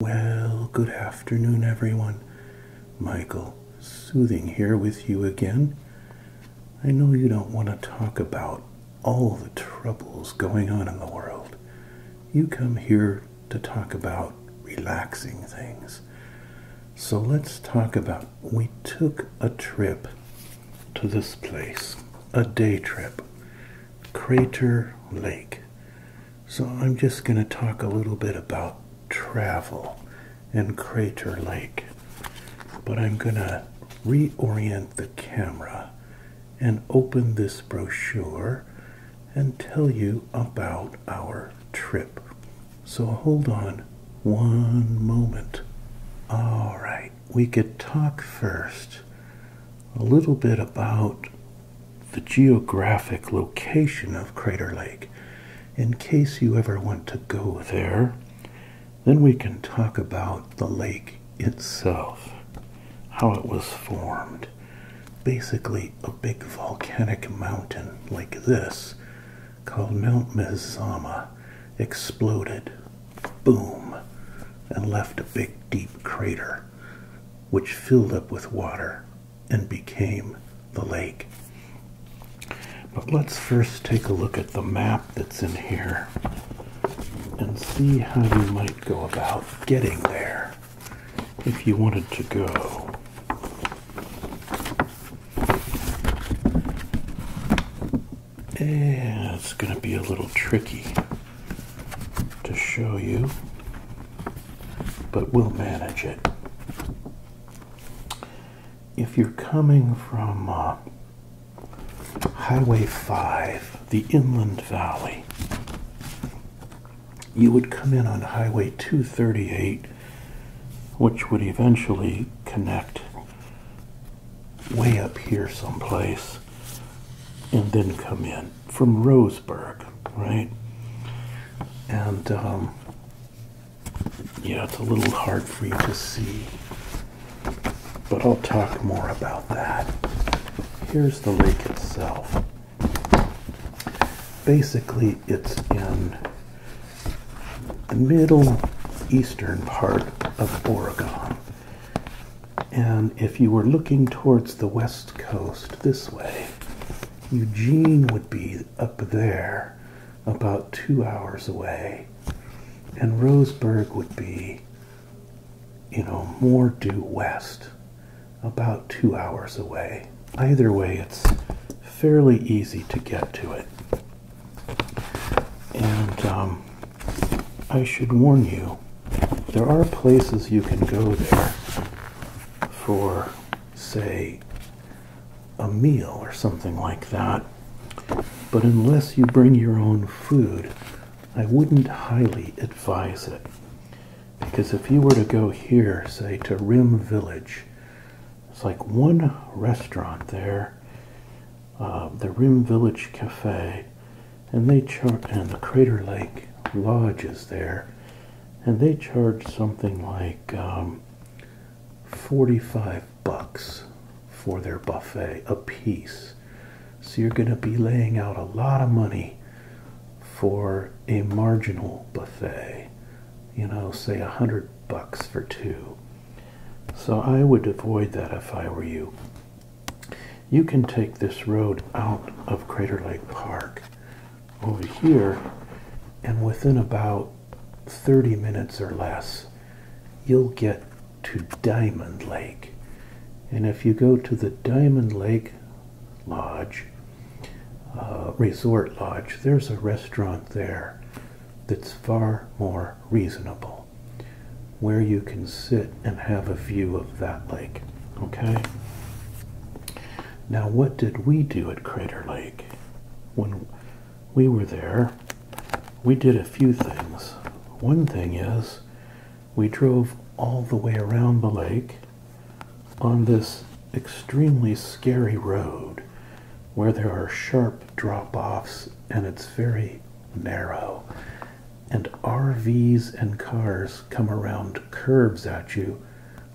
Well, good afternoon, everyone. Michael Soothing here with you again. I know you don't want to talk about all the troubles going on in the world. You come here to talk about relaxing things. So let's talk about we took a trip to this place, a day trip, Crater Lake. So I'm just going to talk a little bit about travel and Crater Lake, but I'm going to reorient the camera and open this brochure and tell you about our trip. So hold on one moment. All right we could talk first a little bit about the geographic location of Crater Lake in case you ever want to go there. Then we can talk about the lake itself, how it was formed. Basically, a big volcanic mountain like this, called Mount Mazama, exploded boom, and left a big deep crater, which filled up with water and became the lake. But let's first take a look at the map that's in here and see how you might go about getting there if you wanted to go it's going to be a little tricky to show you, but we'll manage it. If you're coming from uh, Highway 5, the Inland Valley, you would come in on Highway 238, which would eventually connect way up here someplace and then come in from Roseburg, right? And um, yeah, it's a little hard for you to see, but I'll talk more about that. Here's the lake itself. Basically, it's in the middle eastern part of Oregon and if you were looking towards the west coast this way, Eugene would be up there about two hours away, and Roseburg would be, you know, more due west, about two hours away. Either way, it's fairly easy to get to it. And um, I should warn you, there are places you can go there for, say, a meal or something like that. But unless you bring your own food, I wouldn't highly advise it. Because if you were to go here, say to Rim Village, it's like one restaurant there um, the Rim Village Cafe, and they charge, and the Crater Lake Lodge is there, and they charge something like um, 45 bucks for their buffet a piece. So you're going to be laying out a lot of money for a marginal buffet, you know, say a hundred bucks for two. So I would avoid that if I were you you can take this road out of Crater Lake Park over here and within about 30 minutes or less you'll get to Diamond Lake and if you go to the Diamond Lake Lodge uh, Resort Lodge there's a restaurant there that's far more reasonable where you can sit and have a view of that lake. Okay? Now, what did we do at Crater Lake? When we were there, we did a few things. One thing is, we drove all the way around the lake on this extremely scary road where there are sharp drop offs and it's very narrow and RVs and cars come around curves at you,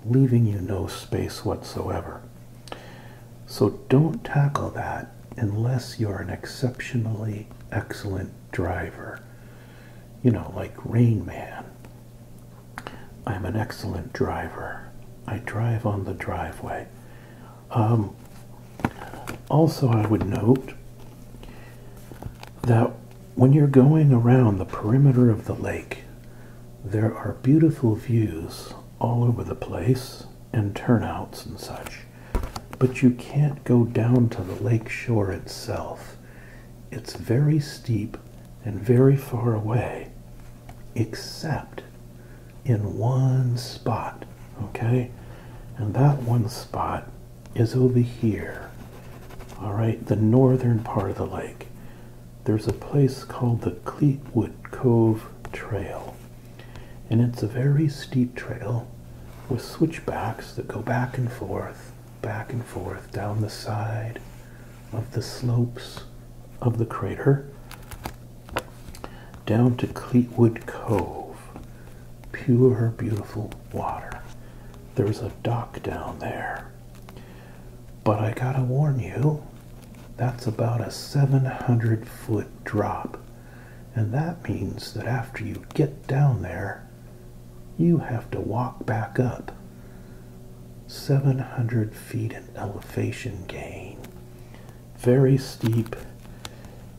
leaving you no space whatsoever. So don't tackle that unless you're an exceptionally excellent driver. You know, like Rain Man. I'm an excellent driver. I drive on the driveway. Um, also, I would note that when you're going around the perimeter of the lake, there are beautiful views all over the place and turnouts and such, but you can't go down to the lake shore itself. It's very steep and very far away, except in one spot, okay? And that one spot is over here. All right, the northern part of the lake. There's a place called the Cleetwood Cove Trail. And it's a very steep trail with switchbacks that go back and forth, back and forth down the side of the slopes of the crater down to Cleetwood Cove pure, beautiful water. There's a dock down there. But I gotta warn you, that's about a 700 foot drop. And that means that after you get down there, you have to walk back up. 700 feet in elevation gain. Very steep,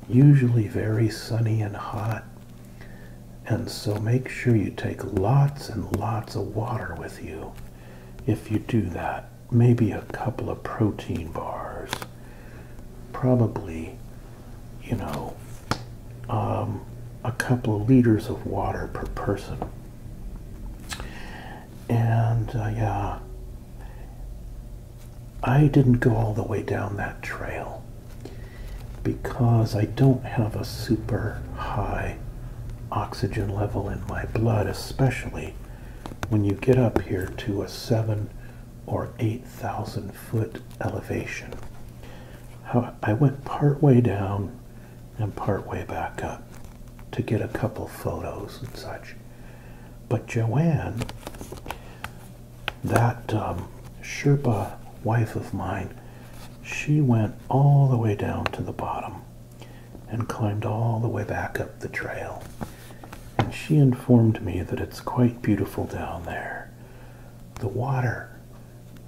usually very sunny and hot, and so make sure you take lots and lots of water with you. If you do that, maybe a couple of protein bars, probably, you know, um, a couple of liters of water per person. And uh, yeah, I didn't go all the way down that trail because I don't have a super high oxygen level in my blood, especially when you get up here to a seven or 8,000 foot elevation. I went part way down and part way back up to get a couple photos and such. But Joanne that um, Sherpa wife of mine, she went all the way down to the bottom and climbed all the way back up the trail. And she informed me that it's quite beautiful down there. The water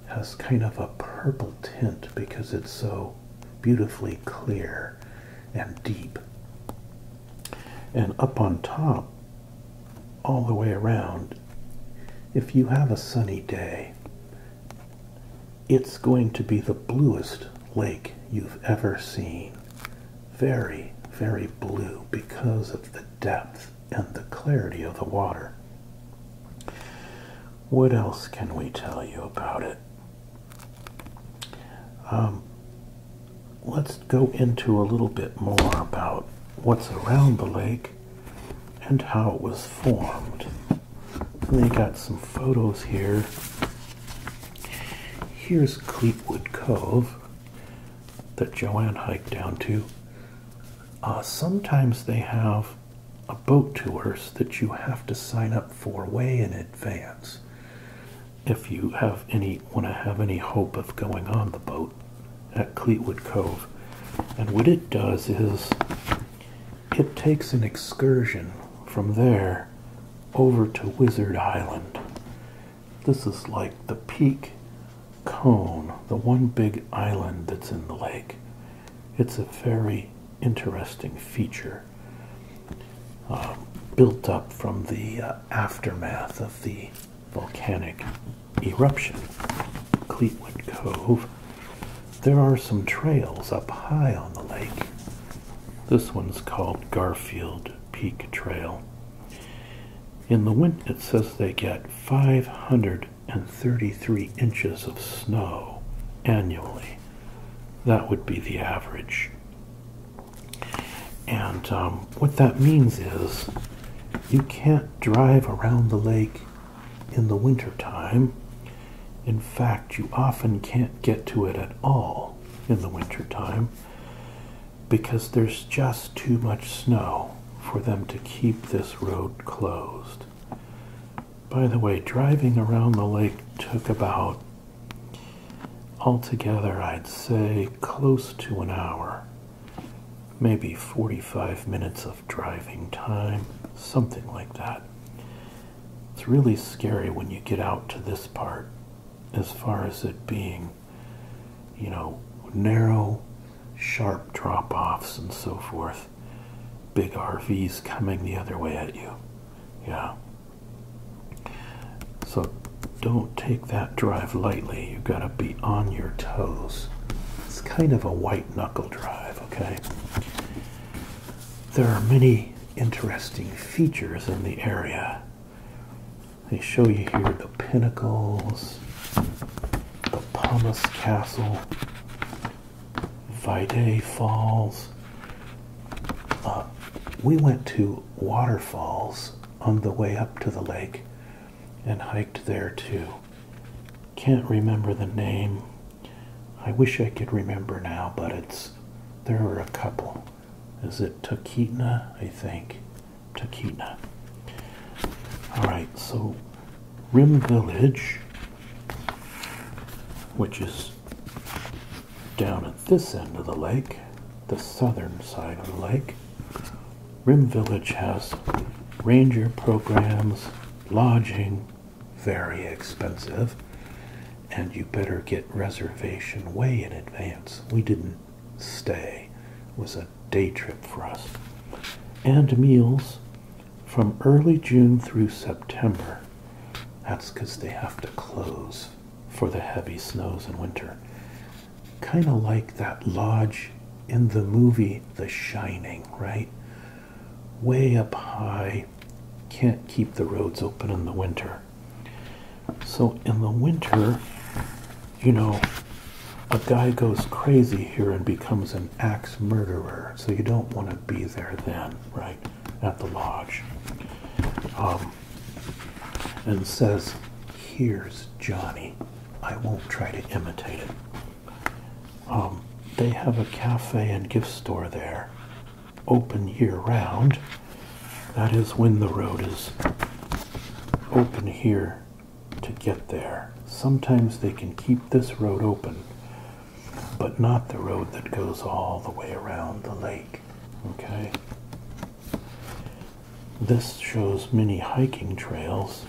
has kind of a purple tint because it's so beautifully clear and deep. And up on top, all the way around, if you have a sunny day, it's going to be the bluest lake you've ever seen. Very, very blue because of the depth and the clarity of the water. What else can we tell you about it? Um, let's go into a little bit more about what's around the lake and how it was formed. And they got some photos here. Here's Cleatwood Cove that Joanne hiked down to. Uh, sometimes they have a boat tours that you have to sign up for way in advance if you have any want to have any hope of going on the boat at Cleetwood Cove. And what it does is it takes an excursion from there over to Wizard Island. This is like the peak cone, the one big island that's in the lake. It's a very interesting feature uh, built up from the uh, aftermath of the volcanic eruption, Cleetwood Cove. There are some trails up high on the lake. This one's called Garfield Peak Trail. In the winter, it says they get 533 inches of snow annually. That would be the average. And um, what that means is you can't drive around the lake in the wintertime. In fact, you often can't get to it at all in the wintertime because there's just too much snow for them to keep this road closed. By the way, driving around the lake took about altogether, I'd say, close to an hour maybe 45 minutes of driving time, something like that. It's really scary when you get out to this part, as far as it being, you know, narrow, sharp drop offs and so forth. Big RVs coming the other way at you. Yeah. So don't take that drive lightly. You've got to be on your toes. It's kind of a white knuckle drive, okay? There are many interesting features in the area. They show you here the pinnacles, the Pumice Castle, Vide Falls. Uh, we went to waterfalls on the way up to the lake and hiked there too. Can't remember the name. I wish I could remember now, but it's there are a couple. Is it Taquitna? I think. Taquitna. Alright, so Rim Village, which is down at this end of the lake, the southern side of the lake, Rim Village has ranger programs, lodging, very expensive, and you better get reservation way in advance. We didn't stay, it was a day trip for us. And meals from early June through September. That's because they have to close for the heavy snows in winter kind of like that lodge in the movie The Shining, right? Way up high, can't keep the roads open in the winter. So in the winter, you know, a guy goes crazy here and becomes an axe murderer. So you don't want to be there then, right? At the lodge. Um, and says, Here's Johnny. I won't try to imitate it. Um, they have a cafe and gift store there, open year round. That is when the road is open here to get there. Sometimes they can keep this road open, but not the road that goes all the way around the lake. Okay? This shows many hiking trails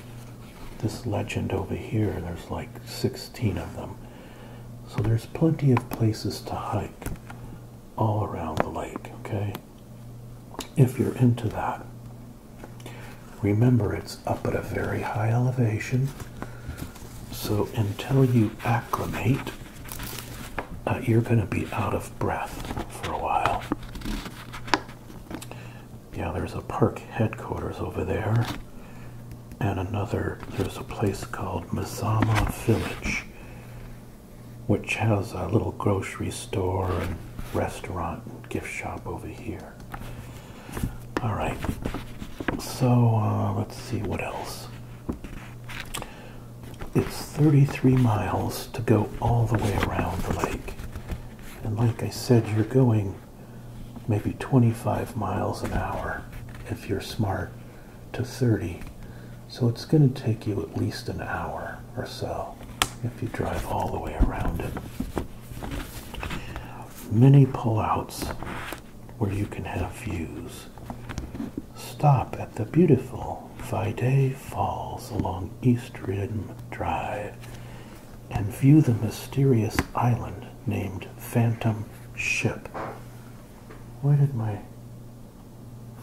this legend over here, there's like 16 of them. So there's plenty of places to hike all around the lake, okay? If you're into that. Remember, it's up at a very high elevation. So until you acclimate, uh, you're going to be out of breath for a while yeah, there's a park headquarters over there, and another, there's a place called Mazama Village, which has a little grocery store and restaurant and gift shop over here. All right, so uh, let's see what else. It's 33 miles to go all the way around the lake. And like I said, you're going maybe 25 miles an hour if you're smart to 30. So it's going to take you at least an hour or so if you drive all the way around it. Many pullouts where you can have views. Stop at the beautiful Fide Falls along East Rim Drive and view the mysterious island named Phantom Ship. Why did my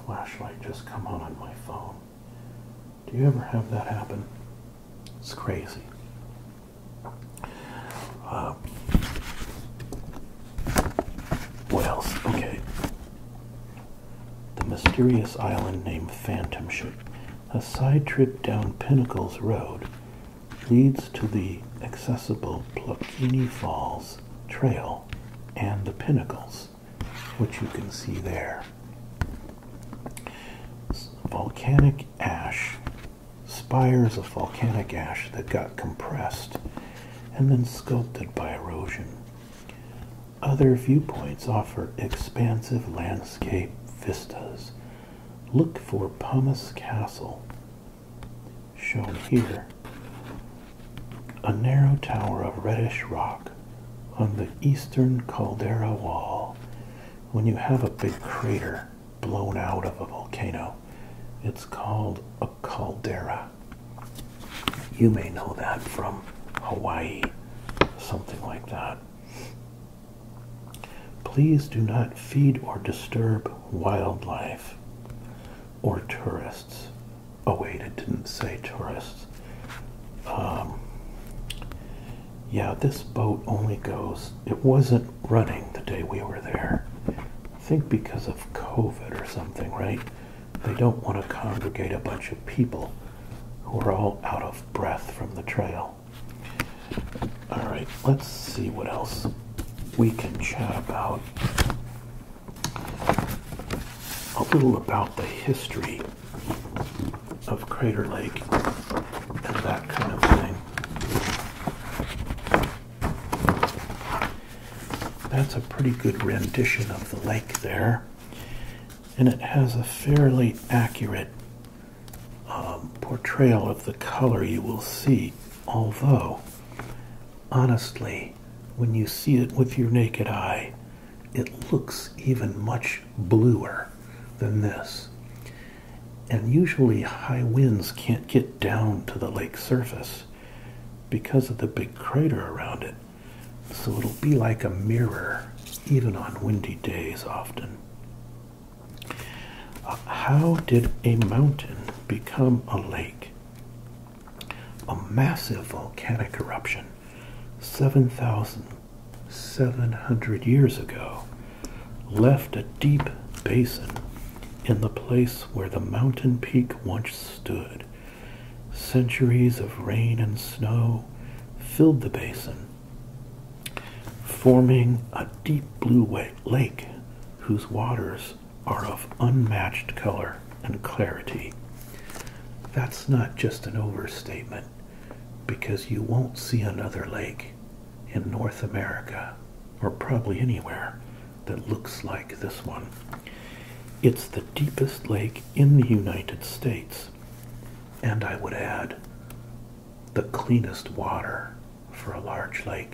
flashlight just come on on my phone? Do you ever have that happen? It's crazy. Uh, what else? Okay. The mysterious island named Phantom Ship. A side-trip down Pinnacles Road leads to the accessible Pluckini Falls Trail and the Pinnacles, which you can see there. Volcanic ash, spires of volcanic ash that got compressed and then sculpted by erosion. Other viewpoints offer expansive landscape vistas look for Pumice Castle, shown here, a narrow tower of reddish rock on the eastern caldera wall. When you have a big crater blown out of a volcano, it's called a caldera. You may know that from Hawaii, something like that. Please do not feed or disturb wildlife or tourists. Oh, wait, it didn't say tourists. Um, yeah, this boat only goes, it wasn't running the day we were there. I think because of COVID or something, right? They don't want to congregate a bunch of people who are all out of breath from the trail. All right, let's see what else we can chat about. A little about the history of Crater Lake and that kind of thing. That's a pretty good rendition of the lake there and it has a fairly accurate um, portrayal of the color you will see. Although, honestly, when you see it with your naked eye, it looks even much bluer than this. And usually, high winds can't get down to the lake surface because of the big crater around it. So it'll be like a mirror, even on windy days often how did a mountain become a lake? A massive volcanic eruption 7,700 years ago left a deep basin in the place where the mountain peak once stood. Centuries of rain and snow filled the basin forming a deep blue lake whose waters are of unmatched color and clarity. That's not just an overstatement because you won't see another lake in North America or probably anywhere that looks like this one. It's the deepest lake in the United States, and I would add, the cleanest water for a large lake.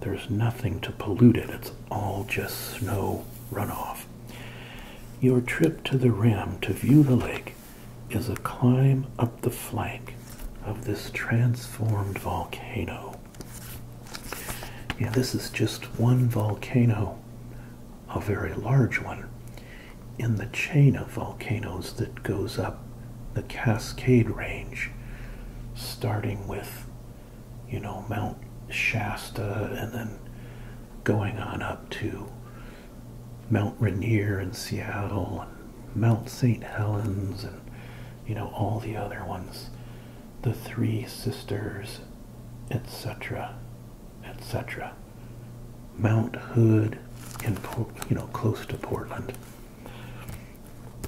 There's nothing to pollute it, it's all just snow runoff. Your trip to the rim to view the lake is a climb up the flank of this transformed volcano. Yeah, this is just one volcano, a very large one in the chain of volcanoes that goes up the Cascade Range, starting with, you know, Mount Shasta and then going on up to Mount Rainier in Seattle and Mount St. Helens and, you know, all the other ones, the Three Sisters, etc., etc. Mount Hood in you know close to Portland.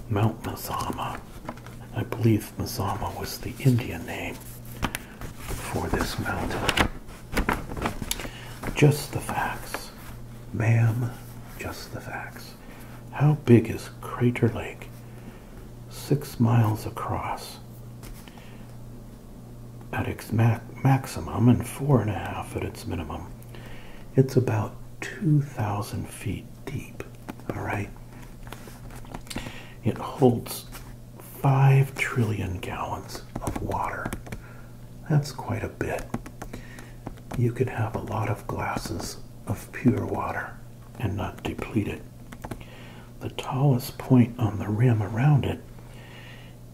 Mount Mazama. I believe Mazama was the Indian name for this mountain. Just the facts. Ma'am, just the facts. How big is Crater Lake? Six miles across at its maximum and four and a half at its minimum. It's about 2,000 feet deep, all right? It holds 5 trillion gallons of water. That's quite a bit. You could have a lot of glasses of pure water and not deplete it. The tallest point on the rim around it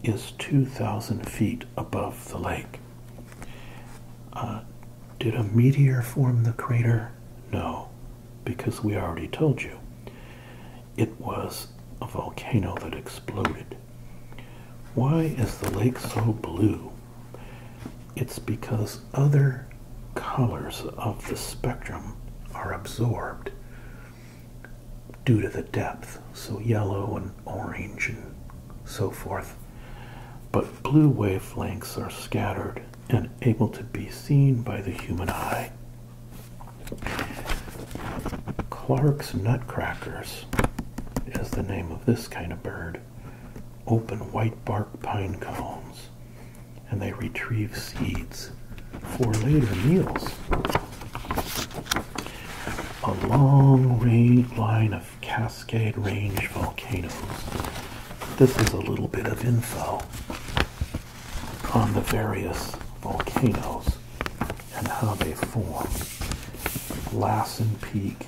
is 2,000 feet above the lake. Uh, did a meteor form the crater? No, because we already told you. It was a volcano that exploded. Why is the lake so blue? It's because other colors of the spectrum are absorbed due to the depth. So yellow and orange and so forth. But blue wavelengths are scattered and able to be seen by the human eye. Clark's nutcrackers is the name of this kind of bird. Open white bark pine cones and they retrieve seeds for later meals a long range line of Cascade Range volcanoes. This is a little bit of info on the various volcanoes and how they form. Lassen Peak,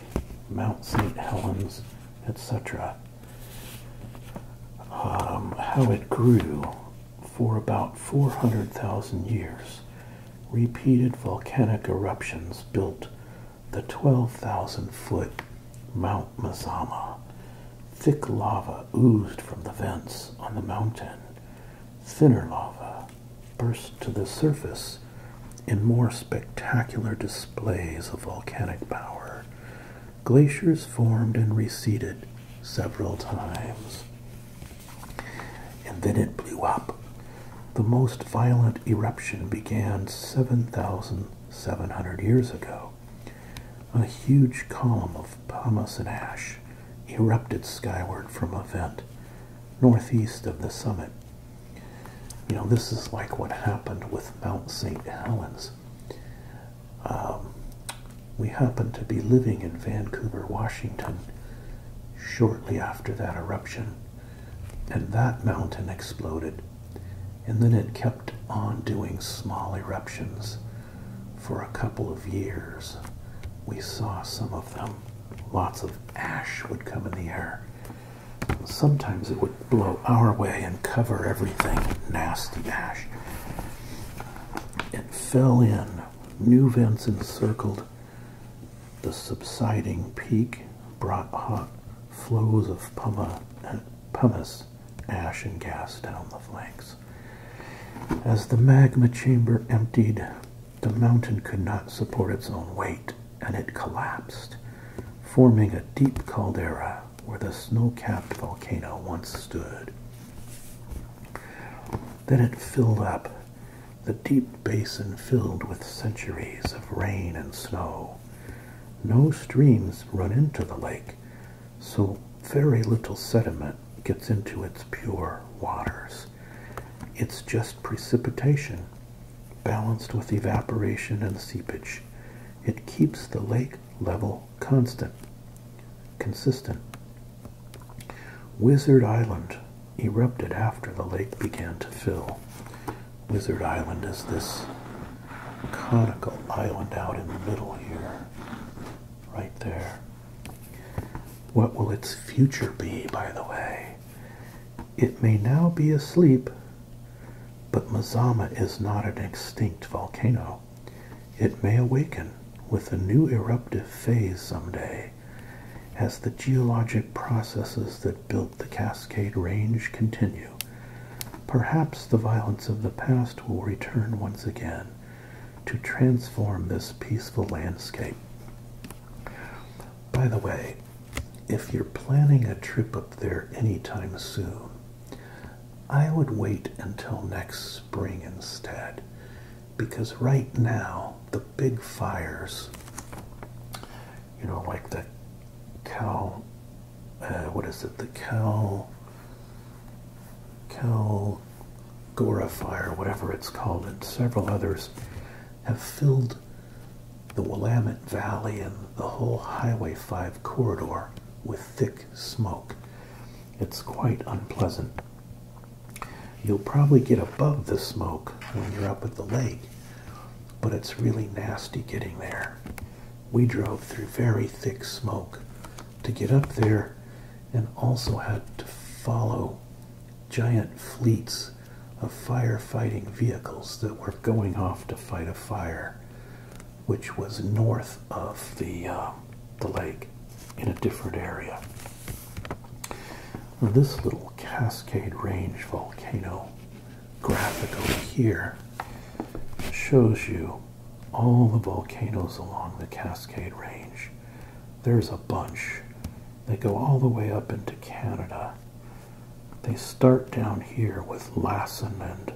Mount St. Helens, etc. Um, how it grew for about 400,000 years repeated volcanic eruptions built the 12,000 foot Mount Mazama. Thick lava oozed from the vents on the mountain. Thinner lava burst to the surface in more spectacular displays of volcanic power. Glaciers formed and receded several times. And then it blew up. The most violent eruption began 7,700 years ago. A huge column of pumice and ash erupted skyward from a vent northeast of the summit. You know, this is like what happened with Mount St. Helens. Um, we happened to be living in Vancouver, Washington, shortly after that eruption and that mountain exploded. And then it kept on doing small eruptions. For a couple of years, we saw some of them. Lots of ash would come in the air. Sometimes it would blow our way and cover everything nasty ash. It fell in. New vents encircled the subsiding peak brought hot flows of pumice, ash, and gas down the flanks. As the magma chamber emptied, the mountain could not support its own weight and it collapsed, forming a deep caldera where the snow capped volcano once stood. Then it filled up the deep basin filled with centuries of rain and snow. No streams run into the lake, so very little sediment gets into its pure waters. It's just precipitation, balanced with evaporation and seepage. It keeps the lake level constant, consistent. Wizard Island erupted after the lake began to fill. Wizard Island is this conical island out in the middle here, right there. What will its future be, by the way? It may now be asleep, but Mazama is not an extinct volcano. It may awaken with a new eruptive phase someday. As the geologic processes that built the Cascade Range continue, perhaps the violence of the past will return once again to transform this peaceful landscape. By the way, if you're planning a trip up there anytime soon, I would wait until next spring instead, because right now the big fires, you know, like the Cal, uh, what is it, the Cal, Cal Gora fire, whatever it's called, and several others have filled the Willamette Valley and the whole Highway 5 corridor with thick smoke. It's quite unpleasant. You'll probably get above the smoke when you're up at the lake, but it's really nasty getting there. We drove through very thick smoke to get up there and also had to follow giant fleets of firefighting vehicles that were going off to fight a fire, which was north of the, uh, the lake in a different area this little Cascade Range volcano graphic over here shows you all the volcanoes along the Cascade Range. There's a bunch. They go all the way up into Canada. They start down here with Lassen and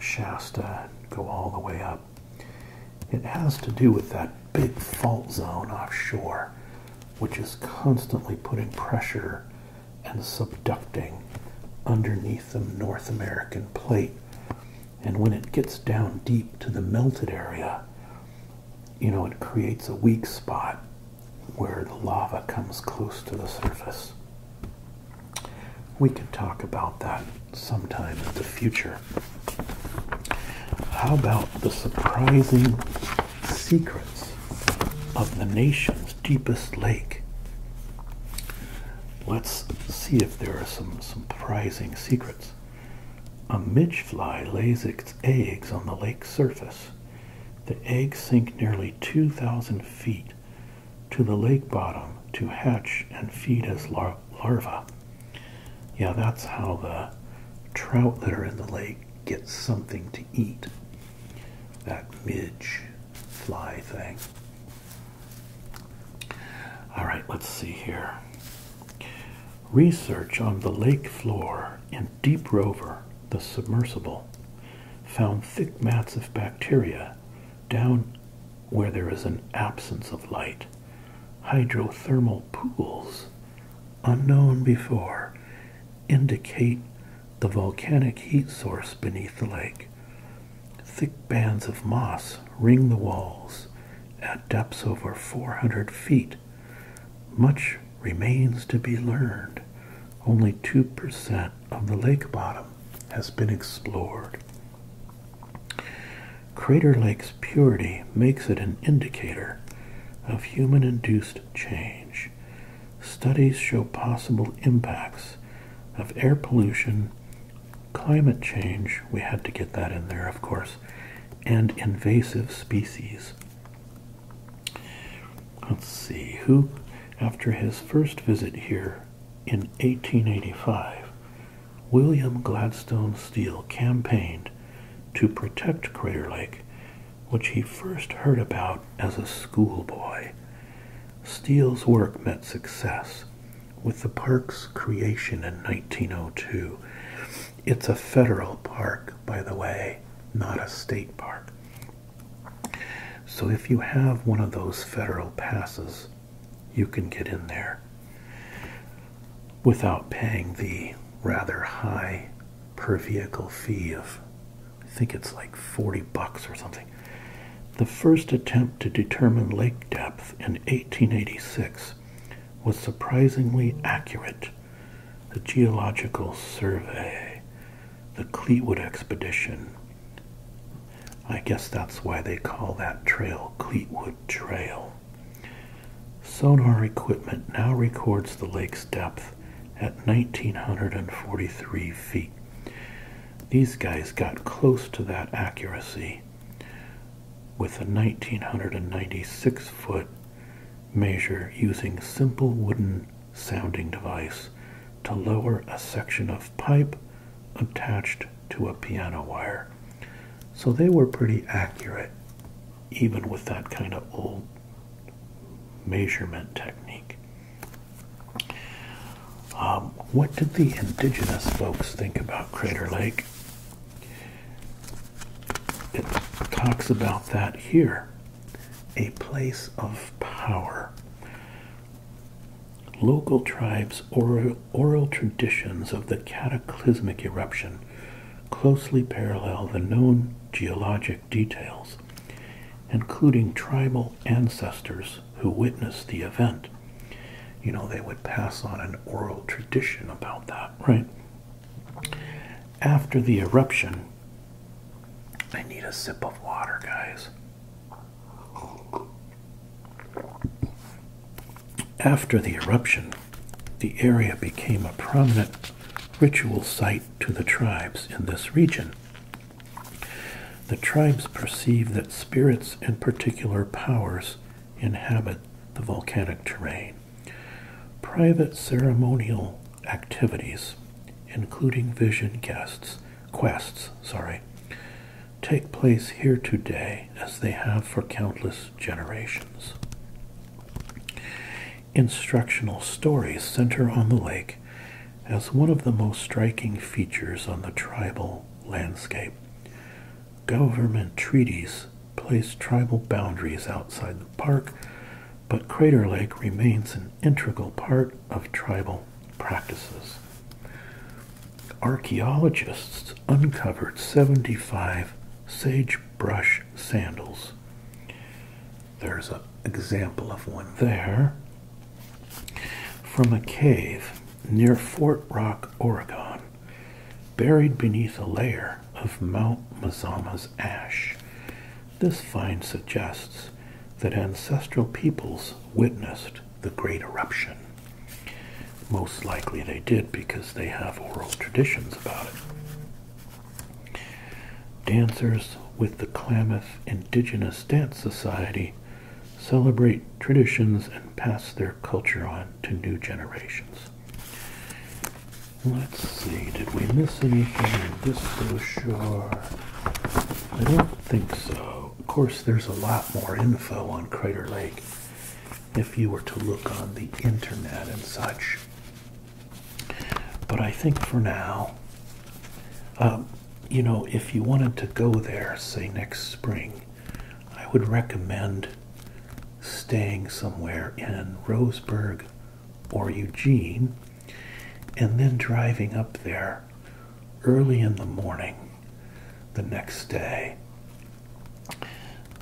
Shasta and go all the way up. It has to do with that big fault zone offshore which is constantly putting pressure and subducting underneath the North American plate. And when it gets down deep to the melted area, you know, it creates a weak spot where the lava comes close to the surface. We can talk about that sometime in the future. How about the surprising secrets of the nation's deepest lake. Let's see if there are some surprising secrets. A midge fly lays its eggs on the lake surface. The eggs sink nearly 2,000 feet to the lake bottom to hatch and feed as larvae. Yeah, that's how the trout that are in the lake get something to eat. That midge fly thing. All right, let's see here. Research on the lake floor in deep rover, the submersible, found thick mats of bacteria down where there is an absence of light. Hydrothermal pools unknown before indicate the volcanic heat source beneath the lake. Thick bands of moss ring the walls at depths over 400 feet. Much remains to be learned. Only 2% of the lake bottom has been explored. Crater Lake's purity makes it an indicator of human induced change. Studies show possible impacts of air pollution, climate change, we had to get that in there, of course, and invasive species. Let's see, who, after his first visit here in 1885, William Gladstone Steele campaigned to protect Crater Lake which he first heard about as a schoolboy. Steele's work met success with the park's creation in 1902. It's a federal park, by the way, not a state park. So if you have one of those federal passes, you can get in there without paying the rather high per vehicle fee of, I think it's like 40 bucks or something. The first attempt to determine lake depth in 1886 was surprisingly accurate. The Geological Survey, the Cleetwood Expedition. I guess that's why they call that trail Cleetwood Trail. Sonar equipment now records the lake's depth at 1943 feet. These guys got close to that accuracy with a 1996 foot measure using simple wooden sounding device to lower a section of pipe attached to a piano wire. So they were pretty accurate even with that kind of old measurement technique. Um, what did the indigenous folks think about Crater Lake? It talks about that here a place of power. Local tribes' oral traditions of the cataclysmic eruption closely parallel the known geologic details, including tribal ancestors who witnessed the event. You know, they would pass on an oral tradition about that, right? After the eruption, I need a sip of water, guys. After the eruption, the area became a prominent ritual site to the tribes in this region. The tribes perceive that spirits and particular powers inhabit the volcanic terrain. Private ceremonial activities, including vision guests, quests, sorry, take place here today as they have for countless generations instructional stories center on the lake as one of the most striking features on the tribal landscape. Government treaties placed tribal boundaries outside the park, but Crater Lake remains an integral part of tribal practices. Archaeologists uncovered 75 sagebrush sandals there's an example of one there from a cave near Fort Rock, Oregon, buried beneath a layer of Mount Mazama's ash. This find suggests that ancestral peoples witnessed the great eruption. Most likely they did because they have oral traditions about it. Dancers with the Klamath Indigenous Dance Society celebrate traditions and pass their culture on to new generations. Let's see, did we miss anything in this brochure? I don't think so. Of course, there's a lot more info on Crater Lake if you were to look on the internet and such. But I think for now, um, you know, if you wanted to go there, say next spring, I would recommend staying somewhere in Roseburg or Eugene and then driving up there early in the morning the next day.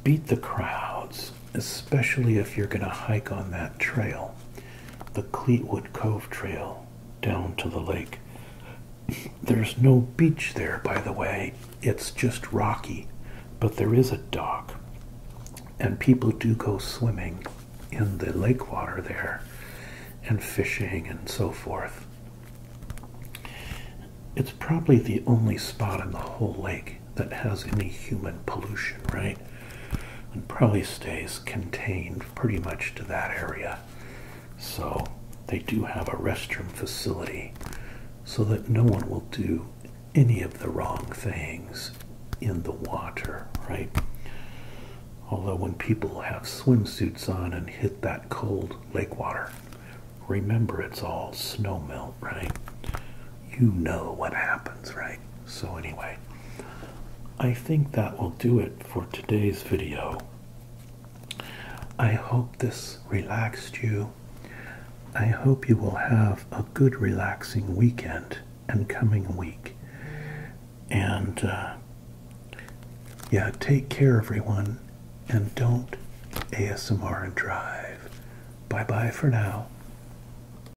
Beat the crowds, especially if you're going to hike on that trail, the Cleetwood Cove Trail down to the lake. There's no beach there, by the way, it's just rocky, but there is a dock, and people do go swimming in the lake water there and fishing and so forth. It's probably the only spot on the whole lake that has any human pollution, right? And probably stays contained pretty much to that area. So they do have a restroom facility so that no one will do any of the wrong things in the water, right? Although when people have swimsuits on and hit that cold lake water, remember it's all snow melt, right? you know what happens, right? So, anyway, I think that will do it for today's video. I hope this relaxed you. I hope you will have a good, relaxing weekend and coming week. And uh, yeah, take care, everyone, and don't ASMR and drive. Bye bye for now.